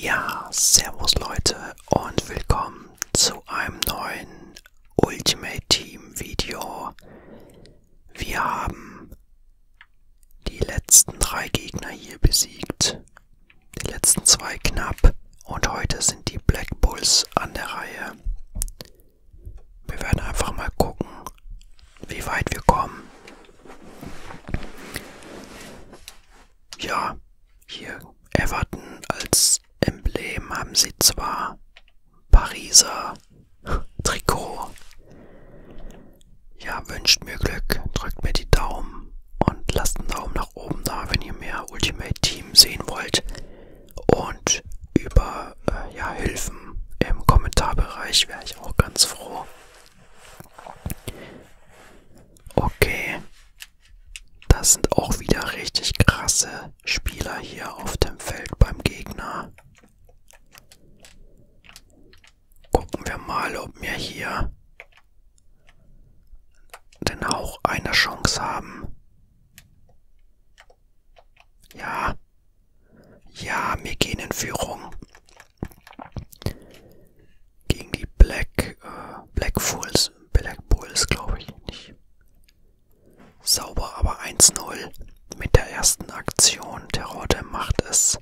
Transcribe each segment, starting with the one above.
Ja, servus Leute und willkommen zu einem neuen Ultimate Team Video. Wir haben die letzten drei Gegner hier besiegt, die letzten zwei knapp und heute sind die Black Bulls an der Reihe. Wir werden einfach mal gucken, wie weit wir kommen ja, hier Everton als Emblem haben sie zwar Pariser Trikot. Ja, wünscht mir Glück, drückt mir die Daumen und lasst einen Daumen nach oben da, wenn ihr mehr Ultimate Team sehen wollt. Und über äh, ja, Hilfen im Kommentarbereich wäre ich auch ganz froh. Okay. Das sind auch wieder richtig krasse Spieler hier auf dem Feld beim Gegner. Gucken wir mal, ob wir hier den Hauch einer Chance haben. Ja. Ja, wir gehen in Führung. Gegen die Black, äh, Black Bulls, Black Bulls glaube ich nicht. Sauber, aber 1-0 mit der ersten Aktion. Terror der macht es.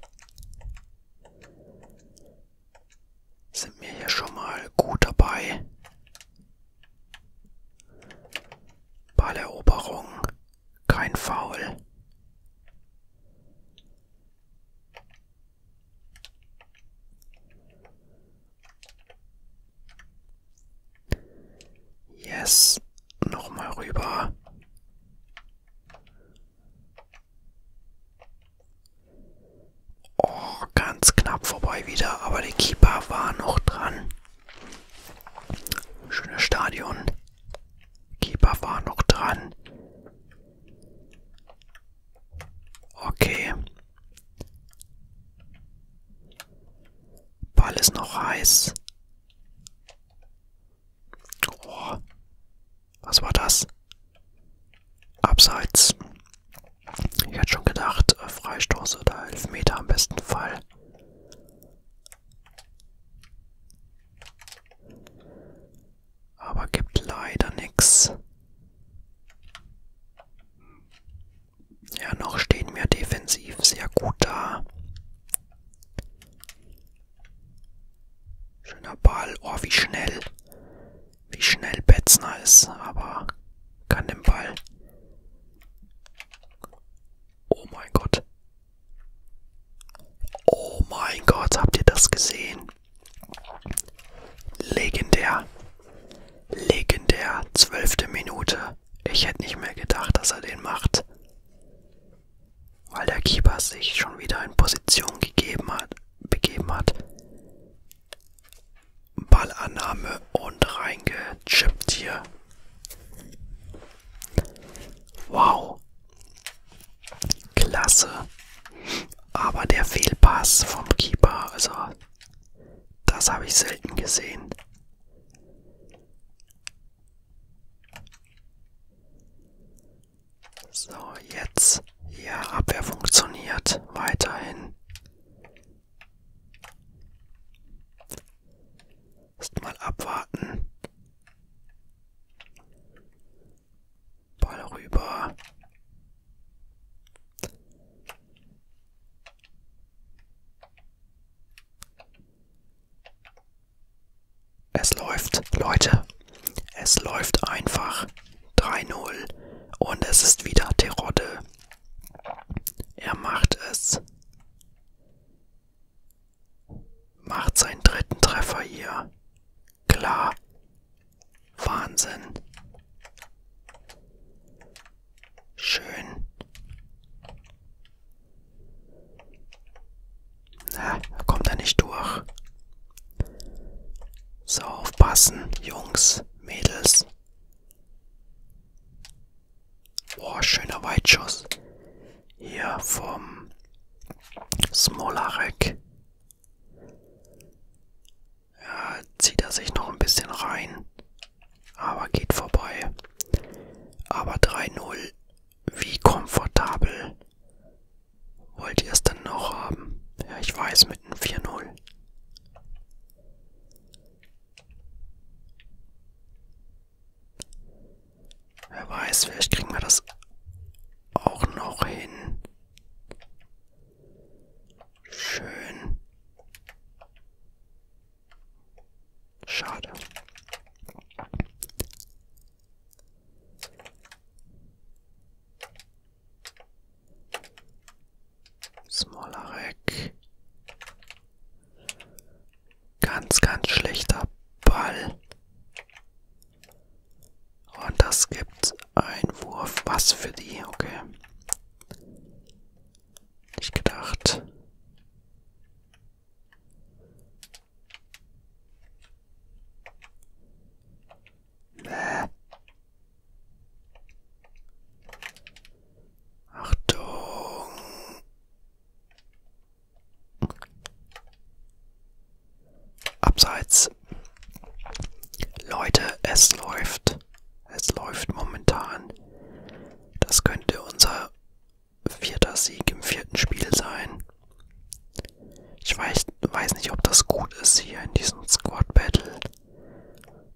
Sind wir hier schon mal gut dabei. Balleroberung, kein Foul. Yes, nochmal rüber. Oh, ganz knapp vorbei wieder, aber der Keeper war noch dran. Schönes Stadion. Keeper war noch dran. Okay. Ball ist noch heiß. Oh, was war das? Abseits. Ich hätte schon gedacht, äh, Freistoß oder Elfmeter am besten Fall aber gibt leider nichts. Ja, noch stehen wir defensiv sehr gut da. Schöner Ball. Oh, wie schnell. Wie schnell Betzner ist, aber kann den Ball. Oh mein Gott. Oh mein Gott, habt ihr das gesehen? Legendär. Legendär. Zwölfte Minute. Ich hätte nicht mehr gedacht, dass er den macht. Weil der Keeper sich schon wieder in Position gegeben hat, begeben hat. Ballannahme und reingechippt hier. Wow. Klasse. Aber der Fehlpass vom Keeper, also das habe ich selten gesehen. So, jetzt. Ja, Abwehr funktioniert weiterhin. Erstmal abwarten. Ball rüber. Es läuft, Leute. Es läuft einfach. 3-0. Und es ist wieder Terodde. Er macht es. Macht seinen dritten Treffer hier klar. Wahnsinn. Schön. Na, kommt er nicht durch. So, aufpassen, Jungs, Mädels. Boah, schöner Weitschuss. Hier vom Smolarek. Ja, zieht er sich noch ein bisschen rein. Aber geht vorbei. Aber 3-0. Wie komfortabel. Wollt ihr es denn noch haben? Ja, ich weiß, mit einem 4-0. Wer weiß, vielleicht kriegen wir das auch noch hin. Schön. Schade. Smolarek. Ganz, ganz schlechter Ball. Und das gibt einen Wurf. Was für die? Okay. Nicht gedacht. Bäh. Achtung. Abseits. Leute, es läuft. Es läuft momentan. Das könnte unser vierter Sieg im vierten Spiel sein. Ich weiß, weiß nicht, ob das gut ist hier in diesem Squad Battle.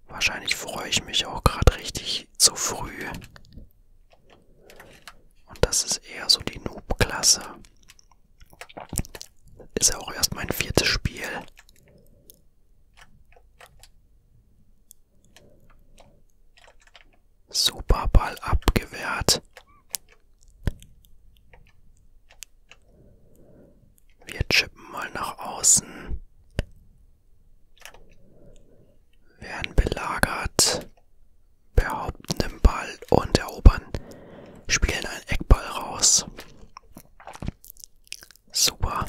Wahrscheinlich freue ich mich auch gerade richtig zu früh. Und das ist eher so die Noob-Klasse. Ist ja auch erst mein viertes Spiel. Superball abgewehrt. Wir chippen mal nach außen. Werden belagert behaupten den Ball und erobern, spielen einen Eckball raus. Super.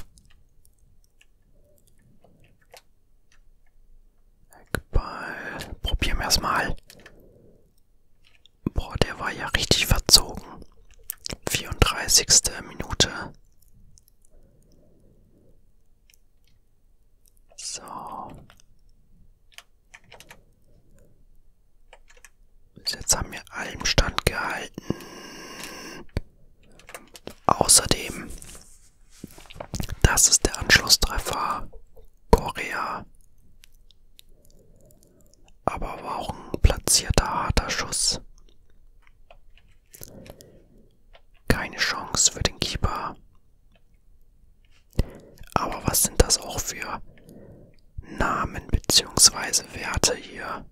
Eckball. Probieren wir es mal. Boah, der war ja richtig verzogen. 34. Minute. So. Bis jetzt haben wir allem standgehalten. Außerdem, das ist der Anschlusstreffer Korea. Aber warum platzierter harter Schuss? Keine Chance für den Keeper. Aber was sind das auch für Namen bzw. Werte hier?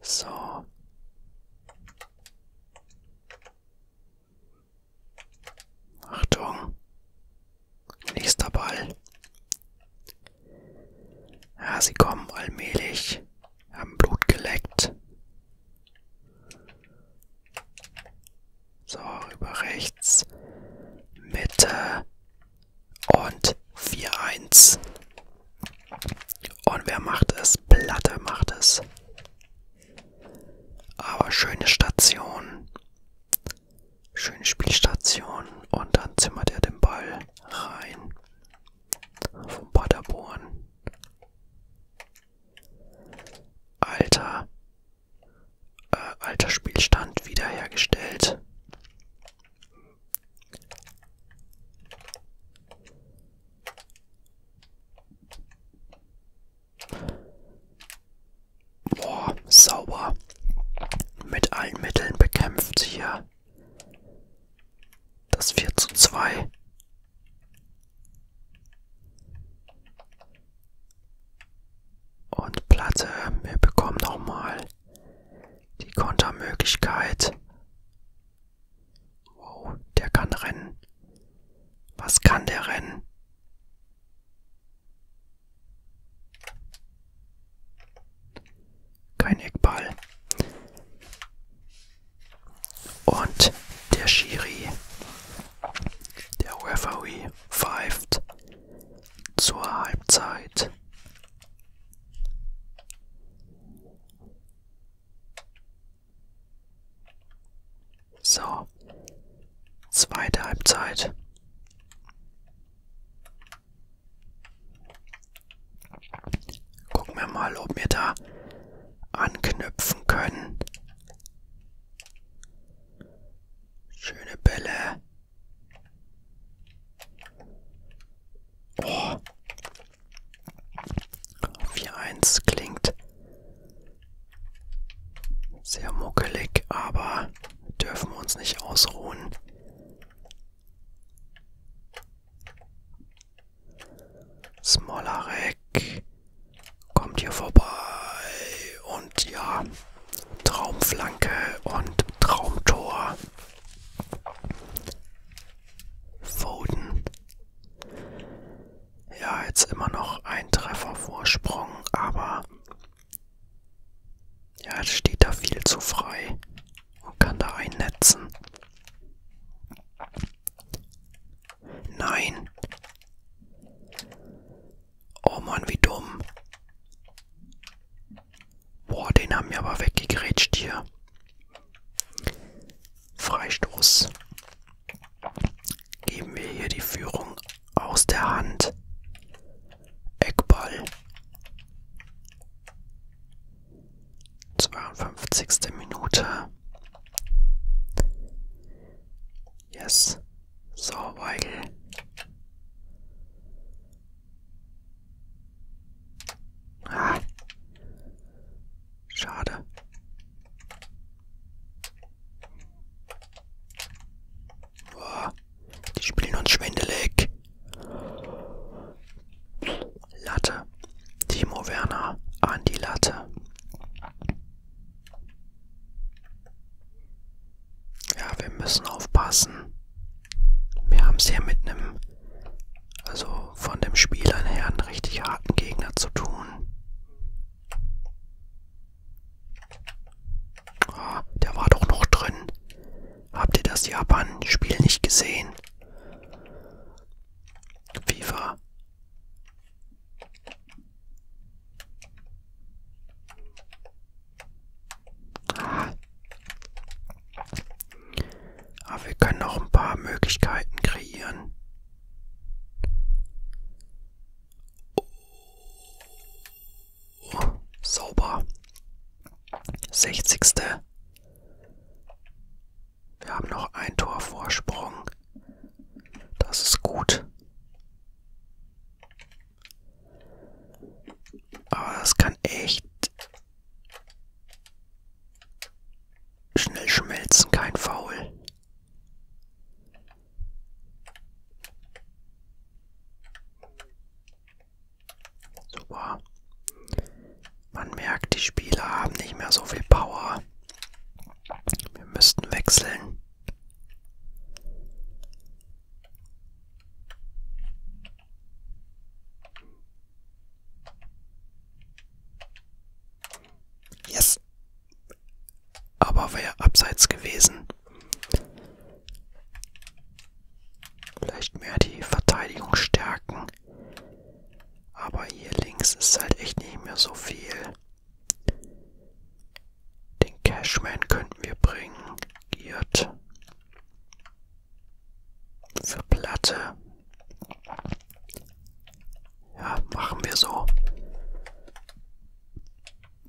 So. Achtung. Nächster Ball. Ja, sie kommen allmählich. Haben Blut geleckt. So, über rechts. Mitte. Und 4-1. Und wer macht es? Platte macht es. Aber schöne Station. Schöne Spielstation und dann zimmert er den Ball rein vom Paderborn. Alter, äh, alter Spielstand wiederhergestellt. Boah, sauber. Mit allen Mitteln bekämpft hier das 4 zu 2. Und Platte, wir bekommen nochmal die Kontermöglichkeit. Wow, der kann rennen. Was kann der rennen? Kein Eckball. Und der Schiri, der Referee, pfeift zur Halbzeit. So, zweite Halbzeit. Gucken wir mal, ob wir da anknüpfen können. Schöne Bälle. Oh. 4-1 klingt sehr muckelig, aber dürfen wir uns nicht ausruhen. Smolarek kommt hier vorbei und ja, Traumflanke und Traumtor. Foden. Ja, jetzt immer noch ein Treffer Vorsprung, aber ja, es steht da viel zu frei und kann da einnetzen. Nein. Oh Mann, wie dumm. Boah, den haben wir aber weggegrätscht hier. Freistoß. Geben wir hier die Führung aus der Hand. Eckball. 52. Minute. Yes. So, Weigel. Ah. Schade. Boah. Die spielen uns schwindelig. Latte. Timo Werner an die Latte. Ja, wir müssen aufpassen. Wir haben es hier mit einem, also von dem Spielern her, einen richtig harten Gegner zu tun. Oh, der war doch noch drin. Habt ihr das Japan-Spiel nicht gesehen? FIFA. Ah. Aber wir können noch ein paar Möglichkeiten kreieren. Sauber. 60. Wir haben noch ein Tor Vorsprung. Das ist gut. Aber das kann echt schnell schmelzen, kein Foul. Super. Man merkt, die Spieler haben nicht mehr so viel Power. Wir müssten wechseln. Yes. Aber wäre abseits gewesen. Vielleicht mehr die Verteidigung stärken. Aber hier links ist halt echt nicht mehr so viel. Den Cashman könnten wir bringen. Giert. Für Platte. Ja, machen wir so.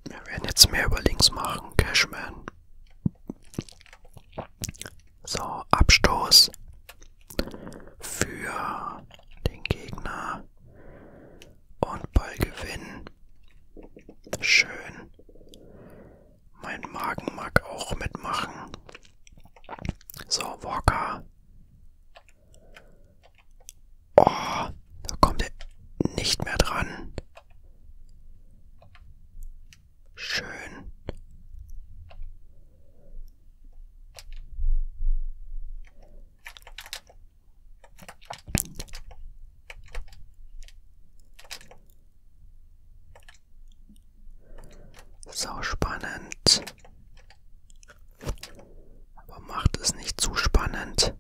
Wir werden jetzt mehr über links machen. Cashman. So, Abstoß für den Gegner und Ballgewinn. Schön. Mein Magen mag auch mitmachen. So, Walker. Oh, da kommt er nicht mehr dran. Schön. So spannend. Aber macht es nicht zu spannend.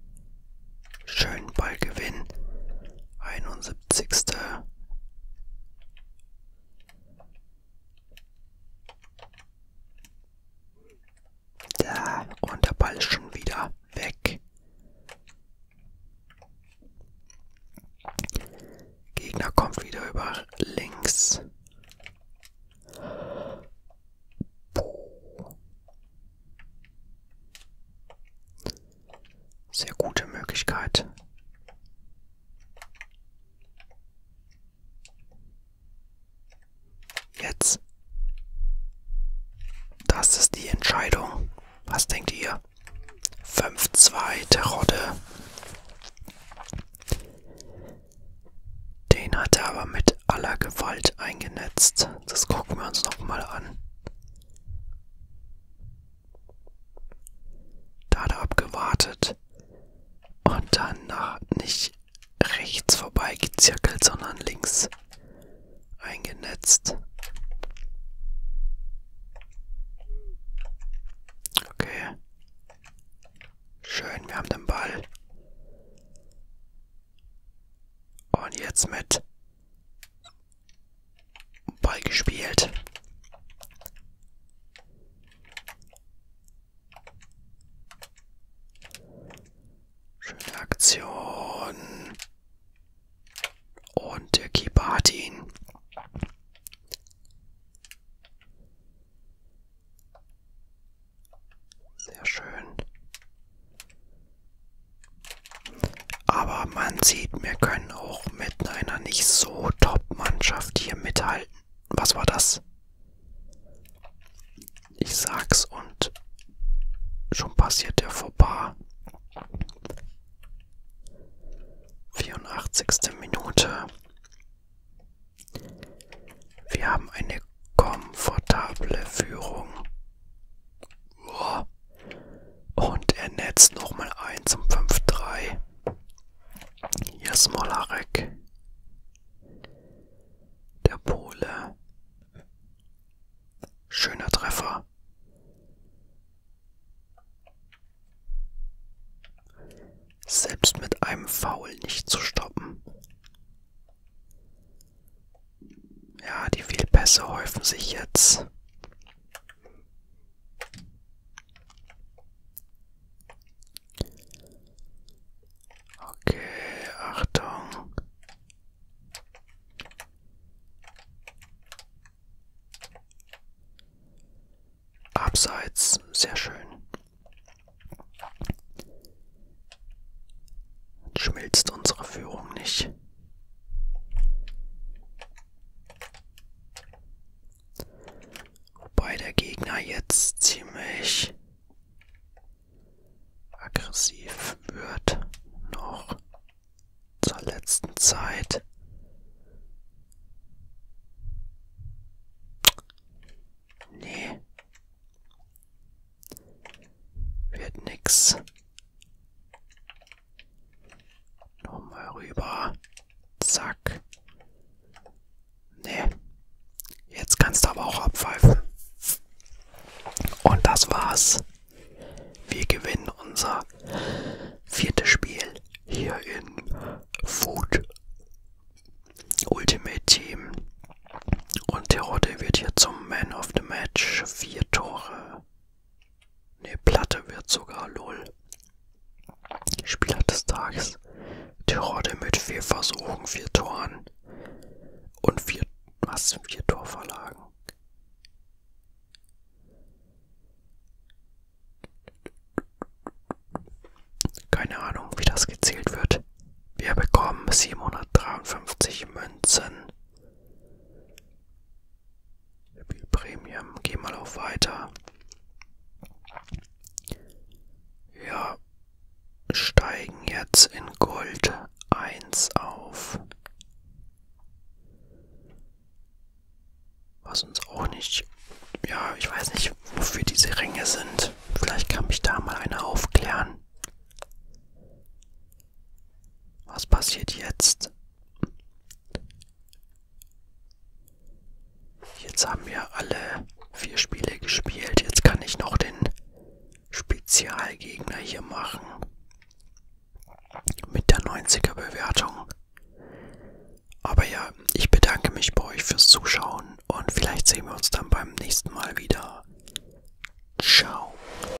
Schönen Ballgewinn. 71. Da, und der Ball ist schon wieder weg. Gegner kommt wieder über links. Sehr gute Möglichkeit. Jetzt. Das ist die Entscheidung. Was denkt ihr? 5-2 Terodde. Den hat er aber mit aller Gewalt eingenetzt. Das gucken wir uns nochmal an. Da hat er abgewartet und dann nach nicht rechts vorbei gezirkelt, sondern links eingenetzt. Okay. Schön, wir haben den Ball. Und jetzt mit Ball gespielt. Schöne Aktion. Und der Keeper hat ihn. Sehr schön. Aber man sieht, wir können auch mit einer nicht so Top-Mannschaft hier mithalten. Was war das? Ich sag's und schon passiert der Fauxpas. 84. Minute. Wir haben eine komfortable Führung. Und er netzt nochmal ein zum 5-3. Hier ist Molarek. Der Pole. Schöner Treffer. Selbst mit einem Foul nicht zu stoppen. Ja, die Fehlpässe häufen sich jetzt. Okay, Achtung. Abseits, sehr schön. Schmilzt unsere Führung nicht. Wobei der Gegner jetzt ziemlich aggressiv wird noch zur letzten Zeit. Nee. Wird nix. Nochmal rüber. Zack. Nee. Jetzt kannst du aber auch abpfeifen. Und das war's. Wir gewinnen unser viertes Spiel hier in Food Ultimate Team. Und Terodde wird hier zum Man of the Match. Vier Tore Ne, Platte wird sogar LOL. Spieler des Tages. Terodde mit vier Versuchen, vier Toren und vier, was, vier Torverlagen. Keine Ahnung, wie das gezählt wird. Wir bekommen 753 Münzen. Spiel Premium. Geh mal auf weiter. Ja, steigen jetzt in Gold 1 auf. Was uns auch nicht... Ja, ich weiß nicht, wofür diese Ränge sind. Vielleicht kann mich da mal einer aufklären. Was passiert jetzt? Jetzt haben wir alle vier Spiele gespielt. Jetzt kann ich noch den Spezialgegner hier machen. Mit der 90er Bewertung. Aber ja, ich bedanke mich bei euch fürs Zuschauen und vielleicht sehen wir uns dann beim nächsten Mal wieder. Ciao.